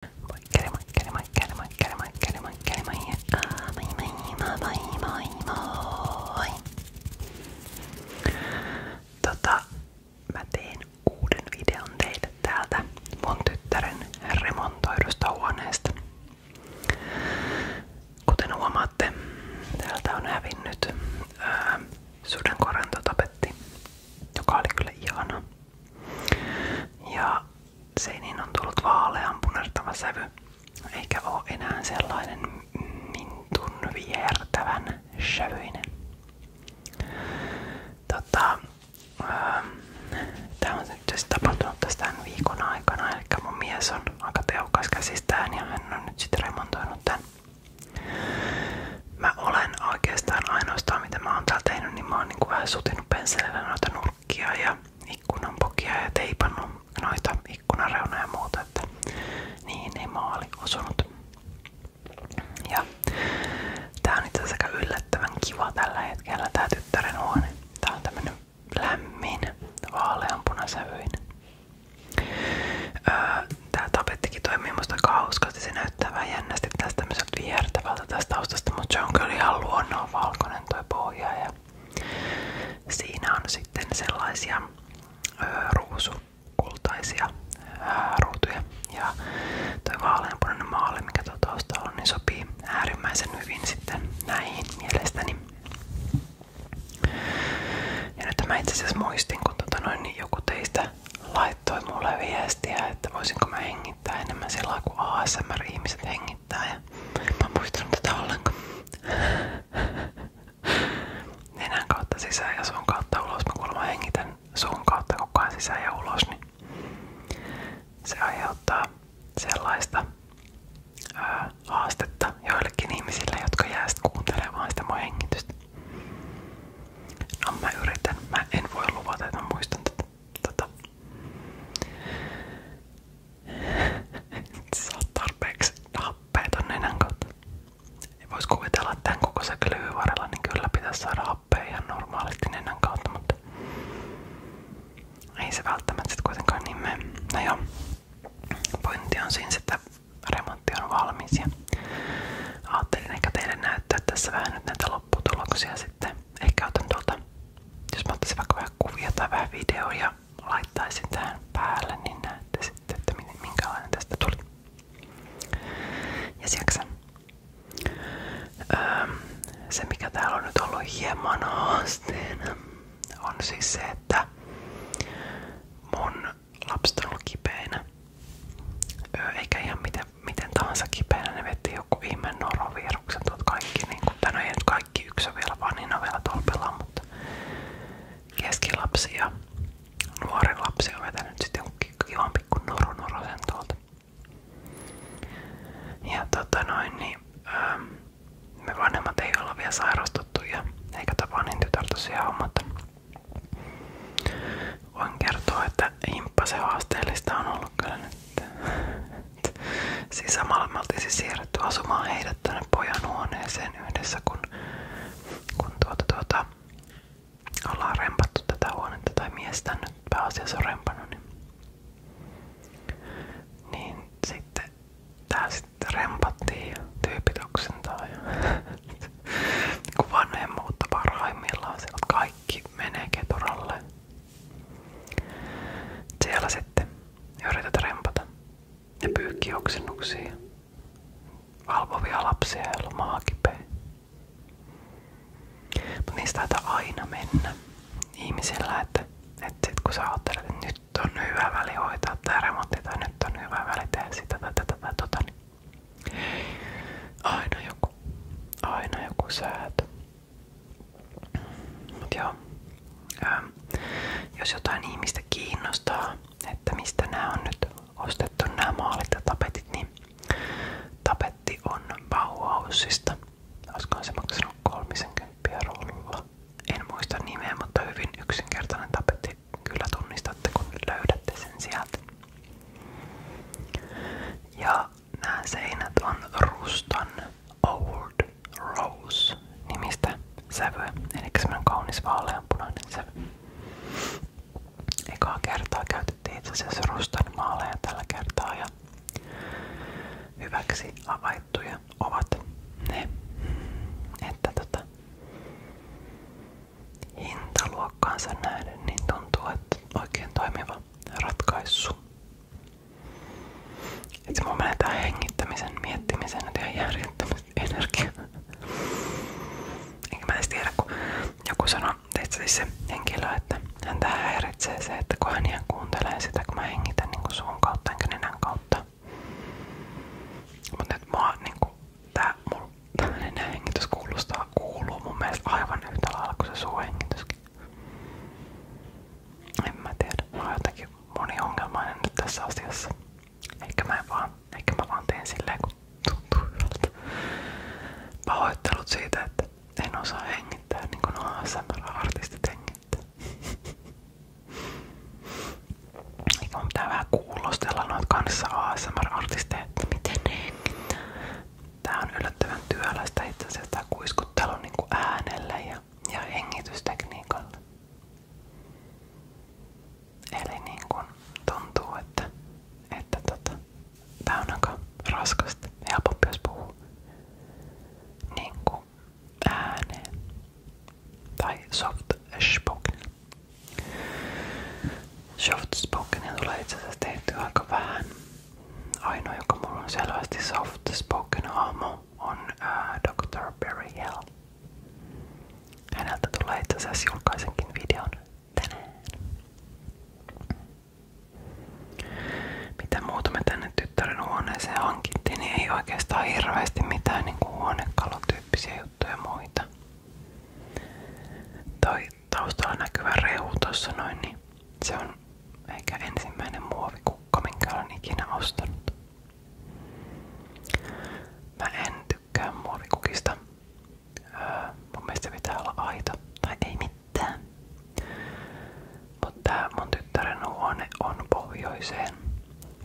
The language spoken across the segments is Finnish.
moi moi! Tota, mä teen uuden videon teille täältä mun tyttären remontoidusta huoneesta. Kuten huomaatte, täältä on hävinnyt ää, sudenkorantotapetti, joka oli kyllä ihana. Ja seiniin on tullut vaalean punertava sävy, eikä ole enää sellainen mintun viertävän sävyinen. Tota, ähm, Tämä on nyt siis tapahtunut tässä tämän viikon aikana, eli mun mies on aika tehokas käsistään ja hän on nyt sitten remontoinut tämän. Mä olen oikeastaan ainoastaan mitä mä oon täällä tehnyt, niin mä oon niin kuin vähän sutinut pensselillä noita nurkkia ja ikkunanpokia ja teipannut noita ikkunareunoja ja muuta, että niihin ei maali osunut. Ja tää on itse asiassa yllättävän kiva tällä hetkellä tää tyttären huone. Tää on tämmönen lämmin, vaaleanpunasävyinen. Öö, tää tapettikin toimii musta aika hauskasti. Se näyttää vähän jännästi tästä näytät vihertävältä tästä taustasta, mutta se on kyllä ihan luonnon valkoinen tuo pohja. Ja siinä on sitten sellaisia ö, ruusukultaisia ruutuja. Ja toi vaaleanpunainen maali, mikä tuo taustalla on, niin sopii äärimmäisen hyvin sitten näihin mielestäni. Ja nyt mä itse asiassa muistin, kun tota noin, niin joku teistä laittoi mulle viestiä, että voisinko mä hengi hengittää enemmän sillä kuin ASMR-ihmiset hengittää. Ja mä en muistanut tätä ollenkaan. Nenän kautta sisään ja suun kautta ulos. Mä kuulemma hengitän suun kautta koko ajan sisään ja ulos. Niin se aiheuttaa sellaista haastetta joillekin ihmisille, jotka jää sit kuuntelemaan sitä mun hengitystä. No mä yritän. Mä en voi luvata, että mä muistan tätä tota, sä oot tarpeeksi happea kuvitella, että tämän kokoisen klyyyn varrella, niin normaalisti nenän kautta, mutta ei se välttämättä sit kuitenkaan niin mene. No on siinä, että remontti on valmis ja ajattelin ehkä teille näyttää tässä vähän sitten ehkä otan tuolta, jos mä ottaisin vaikka vähän kuvia tai vähän videoja laittaisin tähän päälle, niin näette sitten, että minkälainen tästä tuli. Ja siaksen. Öö, se mikä täällä on nyt ollut hieman haasteena on siis se, että mun lapset on ollut kipeänä. Öö, eikä ihan mitä miten, miten tahansa kipeänä ne veti joku ihme noroviruksen, tuot kaikki niin kuin, tai ei nyt kaikki yksi on vielä, vaan vielä tolpillaan, mutta keskilapsi ja nuori lapsi on vetänyt sitten jonkin ihan pikku norunorosen tuolta. Ja tota noin, niin ähm, me vanhemmat ei olla vielä sairastuttu ja eikä Tapanin tytär tosiaan ole, mutta voin kertoa, että himppasen haasteellista on ollut kyllä nyt että, että siis samalla me oltiin siis siirretty asumaan heidät tänne pojan huoneeseen yhdessä, kun, kun tuota, tuota, ollaan rempattu tätä huonetta tai miestä nyt pääasiassa on rempannut. Niin, niin sitten tää sitten rempattiin ja tyypit oksentaa ja kun vanhemmuutta parhaimmillaan, siellä kaikki menee keturalle. Siellä sitten yrität rempata ja pyykki oksennuksia. Valvovia lapsia, joilla on maa kipeä. Mutta niistä taitaa aina mennä ihmisillä, että, että sit kun sä ajattelet, että nyt on hyvä väli hoitaa tämä remontti tai nyt on hyvä väli tehdä sitä tai tätä tai tota, niin aina joku, aina joku säätö. Mut joo. Ö, ähm, jos jotain ihmistä kiinnostaa, että mistä nämä on nyt ostettu nämä maalit ja tapetit, niin tapetti on Bauhausista. Olisikohan se maksanut 30 rulla? En muista nimeä, mutta hyvin yksinkertainen tapetti. Kyllä tunnistatte, kun löydätte sen sieltä. Ja nämä on Ruston Old Rose nimistä sävyä. Eli semmonen kaunis vaaleanpunainen sävy. Ekaa kertaa käytettiin itse asiassa maaleja tällä kertaa ja hyväksi havaittuja ovat ne. Että tota, hintaluokkaansa nähden niin tuntuu, että oikein toimiva ratkaissut. Itse mun menee tää hengittämisen, miettimisen ja järjettömästi energiaa. Enkä mä tiedä, kun joku sanoi, että siis se henkilö, että häntä häiritsee se, että kun hän kuuntelee sitä, kun mä hengitän niin suun kautta enkä nenän kautta. Mutta nyt mua niinku, tää mun nenän hengitys kuulostaa, kuuluu mun mielestä aivan yhtä lailla kuin se suuhengityskin. En mä tiedä. Mä oon jotenkin moniongelmainen nyt tässä asiassa. Eikä mä, vaan, eikä mä vaan teen silleen, kun tuntuu hyvältä. Pahoittelut siitä, että en osaa hengittää niin kuin ASMR-artistit hengittää. Eikä mun pitää vähän kuulostella noita kanssa ASMR-artisteja, että miten ne hengittää. Tää on yllättävän työlästä itse asiassa tää kuiskuttelu niinku äänellä ja, ja hengitystekniikalla. Eli niin kun tuntuu, että, että tota, tää on aika raskasta. Helpompi jos puhuu niinku ääneen. Tai soft spoken. Soft spoken tulee itse asiassa tehty aika vähän. Ainoa, joka mulla on selvästi soft spoken hahmo, on ää, Dr. Barry Hill. Häneltä tulee itse asiassa julkaisenkin videon tänään. Mitä muuta me tänne tyttären huoneeseen hankittiin, niin ei oikeastaan hirveästi mitään niin kuin huonekalutyyppisiä juttuja muita. Toi taustalla näkyvä rehu tuossa noin, niin se on ehkä ensimmäinen muovikukka, minkä olen ikinä ostanut. Mä en tykkää muovikukista. Öö, mun mielestä se pitää olla aita. Tai ei mitään. Mutta tää mun tyttären huone on pohjoiseen.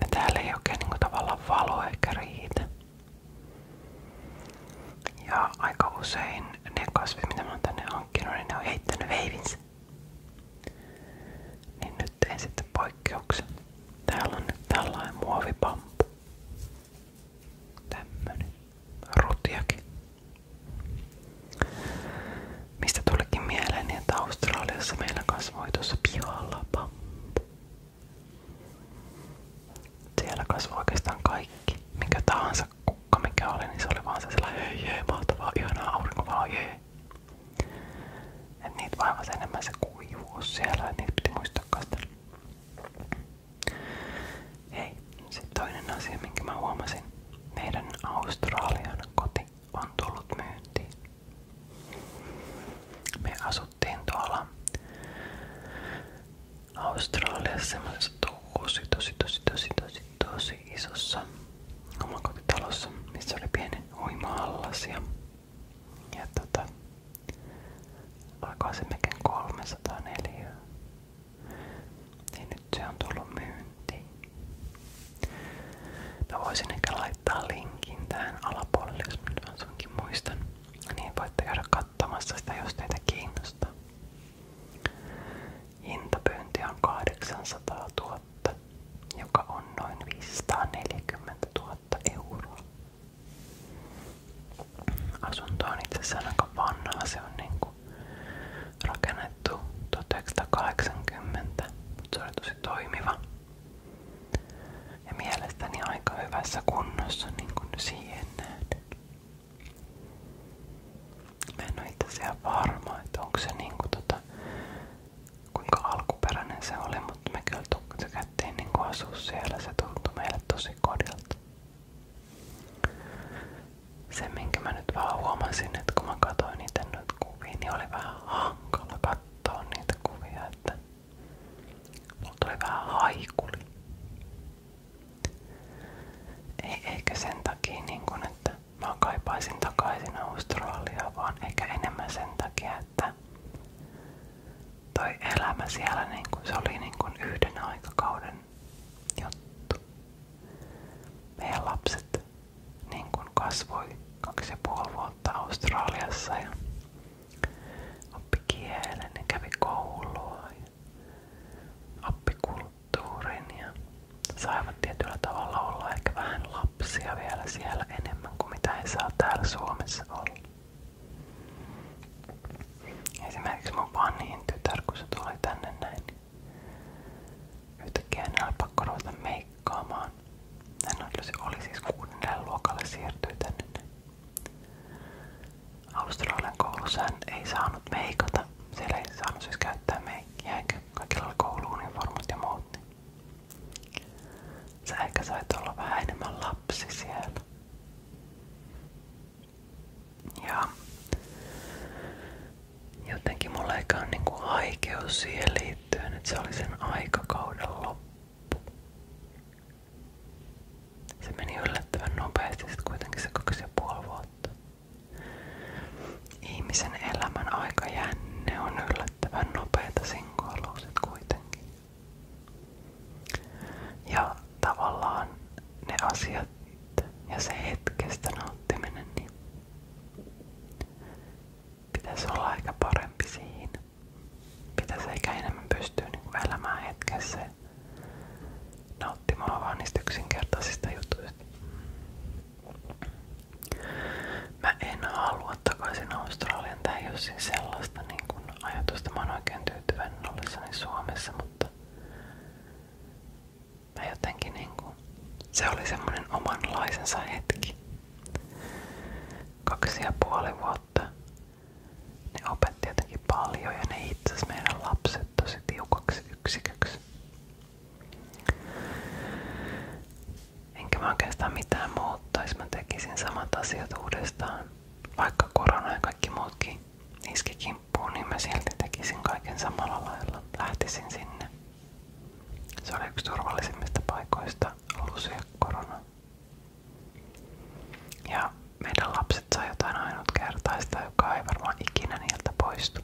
Ja täällä ei oikein niinku tavallaan valo ehkä riitä. Ja aika usein ne kasvit, mitä mä oon tänne hankkinut, niin ne on heittänyt veivinsä. Niin nyt tein sitten poikkeuksen. Täällä on nyt tällainen muovipampu. Tämmönen. Rutiakin. Mistä tulikin mieleen, niin että Australiassa meillä kasvoi pihalla pampu. Siellä kasvoi oikeastaan kaikki, mikä tahansa muista kukka oli, niin se oli vaan se sellainen hei hei mahtavaa, ihanaa aurinkovaloa, jee. se kuivuus siellä, niitä piti muistaa kastella. Hei, sitten toinen asia, minkä mä huomasin. Meidän Australian koti on tullut myyntiin. Me asuttiin tuolla Australiassa semmoisessa tosi tosi tosi tosi tosi tosi isossa omakotitalossa, missä oli pieni uima-allas ja, ja tota, alkoi se mekin 304. Niin nyt se on tullut myyntiin. Mä voisin ehkä laittaa linkin tähän alapuolelle, jos mä nyt sunkin muistan. Niin voitte käydä katsomassa sitä, jos teitä kiinnostaa. Hintapyynti on 800 000, joka on noin 540 000 euroa. Asunto on itse asiassa aika vanhaa, se on niinku rakennettu 1980, mutta se oli tosi toimiva. Ja mielestäni aika hyvässä kunnossa niin kuin siihen nähden. Mä en oo itse asiassa varma, että onko se niinku tota, kuinka alkuperäinen se oli, mutta me kyllä tykättiin niinku asua siellä. Se tuntui meille tosi kodilta. Se minkä mä nyt vaan huomasin, että kun mä katsoin niitä nyt kuvia, niin oli vähän hankala katsoa niitä kuvia, että mulla tuli vähän haikuli. Ei ehkä niin kun, että mä kaipaisin takaisin Australiaan, vaan että toi elämä siellä niin kun, se niin kun yhden aikakauden juttu. Meidän lapset niin kun kasvoi kaksi vuotta Australiassa ja oppi kielen ja kävi koulua. Ja appikulttuurin ja saivat tavalla olla ehkä vähän lapsia vielä siellä enemmän kuin mitä he Suomessa olla. Esimerkiksi mun vanhin tytär, kun tänne näin, niin yhtäkkiä enää meikkaamaan. Hän oli, oli siis kuudennelle luokalle siirtyi tänne. Australian koulussa hän ei saanut meikata siellä ei saanut siis käyttää meikkiä eikä kaikilla oli kouluuniformut ja muut. Niin. Sä ehkä sait olla vähän enemmän lapsi siellä. Ja jotenkin mulla ei ole niinku aikeus siihen liittyen, että se oli sen aikakauden loppu. Se meni yllättävän nopeasti, sitten kuitenkin se kaksi ja puoli vuotta. Ihmisen elämän aikajänne on yllättävän nopeita sinkoiluuset kuitenkin. Ja tavallaan ne asiat ja se hetkestä nauttiminen, niin aika parempi siinä. Pitäisi ehkä enemmän niin hetkessä nauttimaan vaan niistä yksinkertaisista jutuista. Mä en halua takaisin Australian. Tää ei oo siis sellaista niin kun ajatusta. Mä oon oikein tyytyväinen ollessani Suomessa, mutta mä jotenkin niinku... Se oli semmonen omanlaisensa hetki. Kaksi ja puoli vuotta ne opetti jotenkin paljon ja ne itse meidän lapset tosi tiukaksi yksiköksi. Enkä mä oikeastaan mitään muuttaisi. Mä tekisin samat asiat uudestaan. Vaikka korona ja kaikki muutkin iski kimppuun, niin mä silti tekisin kaiken samalla lailla. Lähtisin sinne. Se oli yksi turvallisimmista paikoista lusia korona. Ja meidän lapset sai jotain ainutkertaista, joka ei varmaan ikinä niiltä poistu.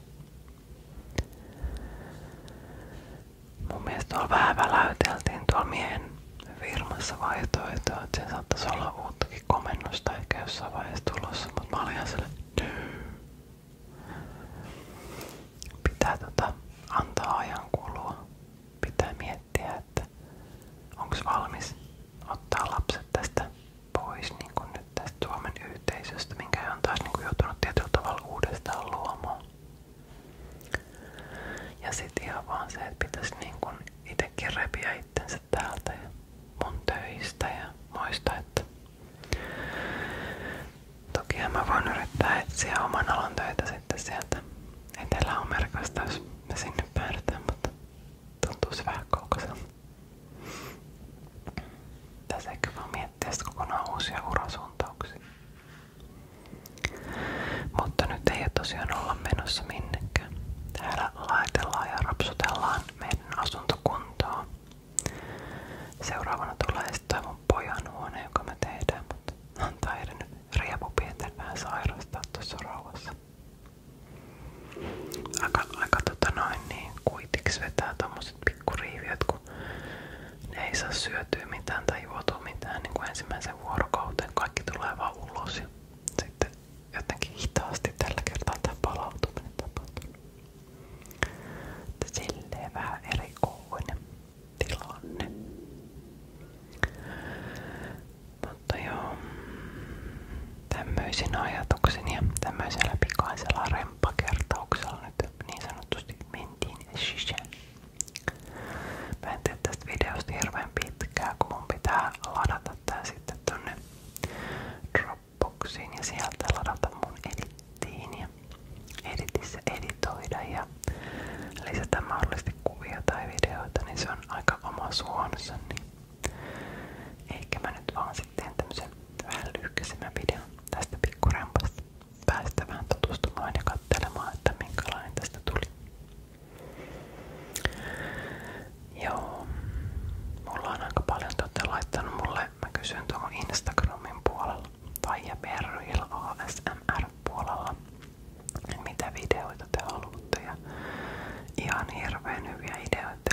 Mun mielestä tuolla vähän väläyteltiin tuolla miehen firmassa vaihtoehtoa, että se saattaisi olla uuttakin komennusta ehkä jossain vaiheessa tulossa, mutta mä olin ihan sille, Pitää tota, antaa ajan kulua. Pitää miettiä, että onko valmis ottaa lapset tästä pois niin kuin nyt tästä yhteisöstä, minkä hän niin kuin joutunut tietyllä tavalla uudestaan luomaan. Ja sit ihan vaan niin kun itekin täältä ja ja muista, että tokihan mä voin yrittää etsiä oman alan töitä sitten sieltä Etelä-Amerikasta, jos me tässä ehkä vaan miettiä kokonaan uusia urasuuntauksia. Mutta nyt ei tosiaan olla menossa minnekään. Täällä laitellaan ja rapsutellaan meidän asuntokuntoa. Seuraavana tulee sitten toi mun pojan me tehdään, mutta antaa edennyt riepu pienten vähän sairastaa tuossa Aika, aika tota noin niin kuitiksi vetää tommoset semmoset pikkuriiviöt, kun ne ei saa syötyä mitään tai juotua mitään niin kuin ensimmäisen vuorokauteen. Kaikki tulee vaan ulos ja sitten jotenkin hitaasti tällä kertaa tämä palautuminen tapahtuu. Silleen vähän erikoinen tilanne. Mutta joo, tämmöisin ajatuksin ja tämmöisellä pikaisella remppakertauksella nyt niin sanotusti mentiin sisään. Mä en tee tästä videosta hirveän pitkää, kun mun pitää ladata tää sitten tonne Dropboxiin ja sieltä ladata mun edittiin ja editissä editoida ja lisätä mahdollisesti kuvia tai videoita, niin se on aika oma suonsa, niin ehkä mä nyt vaan sitten teen vähän lyhkäisemmän videon tästä pikkurampasta. Päästä vähän tutustumaan ja katselemaan, että minkälainen tästä tuli. Joo, mulla on aika paljon te laittanut mulle, mä kysyn tuohon Instagramin puolella tai ja Perryil ASMR puolella, mitä videoita te haluatte ja ihan hirveän hyviä ideoita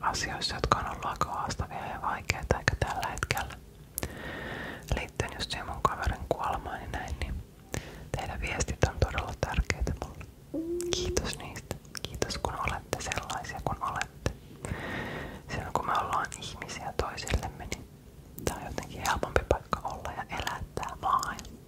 asioissa, jotka on ollut aika haastavia ja vaikeita, eikä tällä hetkellä liittyen just siihen mun kaverin kuolemaan ja näin, niin teidän viestit on todella tärkeitä mulle. Kiitos niistä. Kiitos kun olette sellaisia kuin olette. Silloin kun me ollaan ihmisiä toisillemme, niin tää on jotenkin helpompi paikka olla ja elää tää maailma.